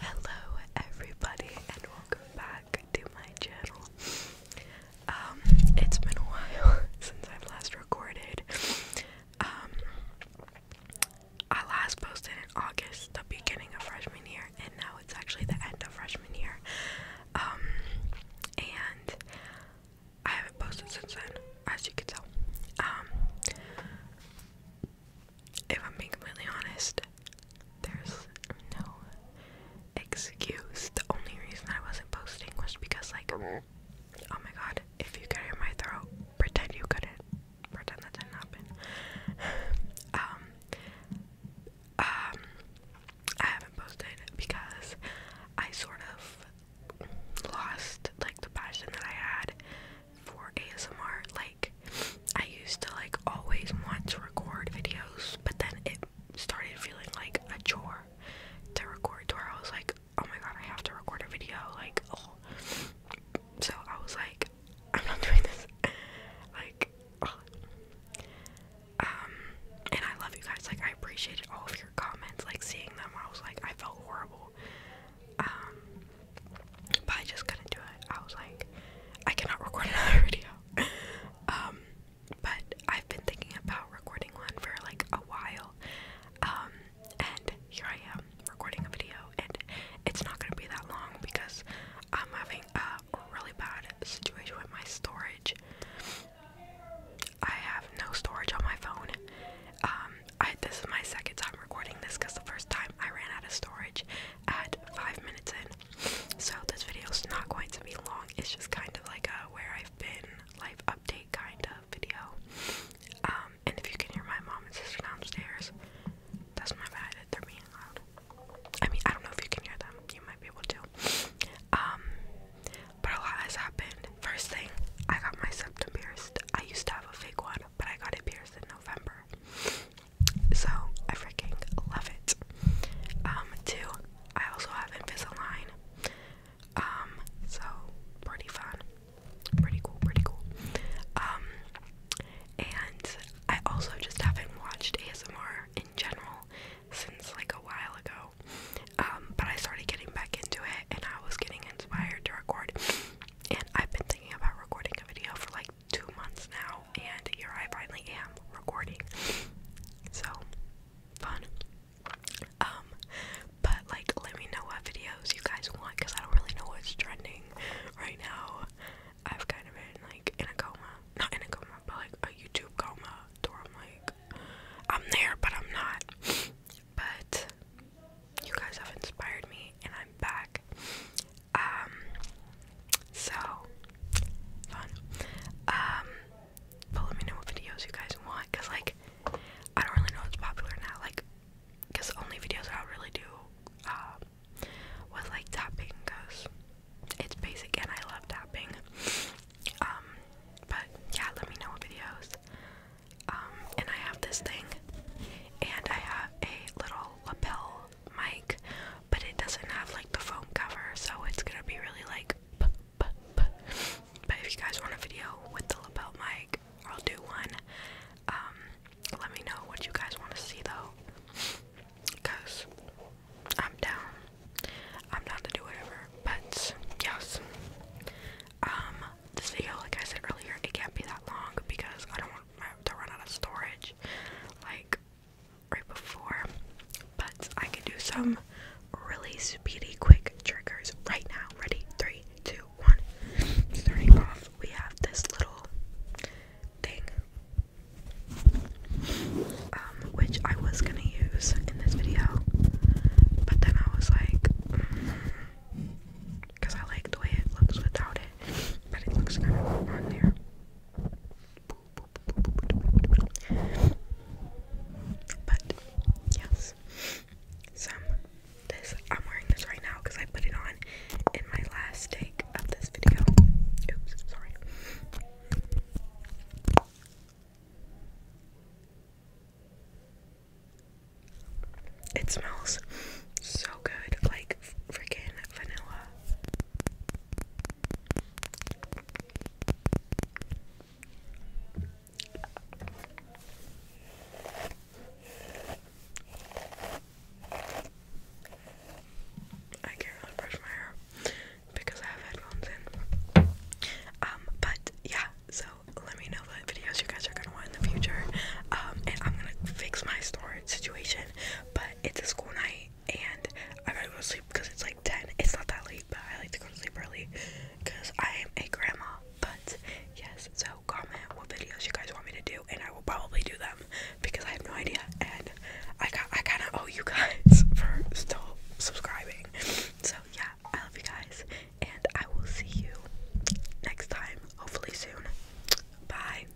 Hello, everybody, and welcome back to my channel. Um, it's been a while since I've last recorded. Um, I last posted in August, the beginning of freshman year, and now it's actually the end of freshman year. Um, and I haven't posted since then, as you can tell. Um, if I'm being completely honest, there's no excuse. The only reason I wasn't posting was because, like, oh my god, if you could hear my throat, pretend you couldn't. Pretend that didn't happen. um, um, I haven't posted because I sort of lost like the passion that I had for ASMR. Like I used to like always want to record videos, but then it started feeling like a chore to record where I was like, oh my god, I have to record a video, like oh so I was like, I'm not doing this. like oh. Um, and I love you guys like I appreciated all of your comments like seeing them I was like I felt horrible um, but I just couldn't do it I was like I cannot record another video um, but I've been thinking about recording one for like a while and here I am recording a video and it's not gonna be that long because I'm having a really bad situation with my storage I have no storage on my phone. Um, this is my second time recording this because the first time I ran out of storage at five minutes in. So this video is not going to be long. It's just kind of like a where I've been life update kind of video. Um, and if you can hear my mom and sister downstairs, that's my bad. They're being loud. I mean, I don't know if you can hear them. You might be able to. Um, but a lot has happened. First thing, I got my septum pierced. I used to have a fake one, but I got it pierced in November. So I freaking love it. Um, two, I also have Invisalign. Um, so pretty fun. Pretty cool, pretty cool. Um, and I also just haven't watched ASMR in general since like a while ago. Um, but I started getting back into it and I was getting inspired to record. And I've been thinking about recording a video for like two months now, and here I finally am recording. So fun. Um, but like, let me know what videos you guys want because I don't really know what's trending right now. I've kind of been like in a coma, not in a coma, but like a YouTube coma, to where I'm like, I'm there, but I'm not. But you guys have inspired me, and I'm back. Um, so fun. Um, but let me know what videos you guys want, cause like I don't really know what's popular now. Like because the only videos I really do uh, was like tapping because it's basic and I love tapping. Um, but yeah, let me know what videos. Um, and I have this thing, and I have a little lapel mic, but it doesn't have like the foam cover, so it's gonna be really like. But if you guys want a video with the lapel mic, I'll do one. Um, let me know what you guys want to see though, cause I'm down. I'm down to do whatever. But yes, um, this video, like I said earlier, it can't be that long because I don't want to run out of storage, like right before. But I can do some really speedy, quick triggers right now. Ready? Three, two, one. Starting off, we have this little thing, um, which I was gonna use in this video, but then I was like, because mm, I like the way it looks without it, but it looks kind of on but yes, some this I'm wearing this right now because I put it on in my last take of this video. Oops, sorry. It smells so good, like freaking vanilla. I can't really brush my hair because I have headphones in. Um, but yeah, so let me know what videos you guys are gonna want in the future. Um, and I'm gonna fix my storage situation, but it's a school night and I'm gonna go sleep because it's like 10. It's not that late, but I like to go to sleep early because I am a grandma. But yes, so comment what videos you guys want me to do, and I will probably do them because I have no idea. And I got I kind of owe you guys for still subscribing. So yeah, I love you guys, and I will see you next time, hopefully soon. Bye.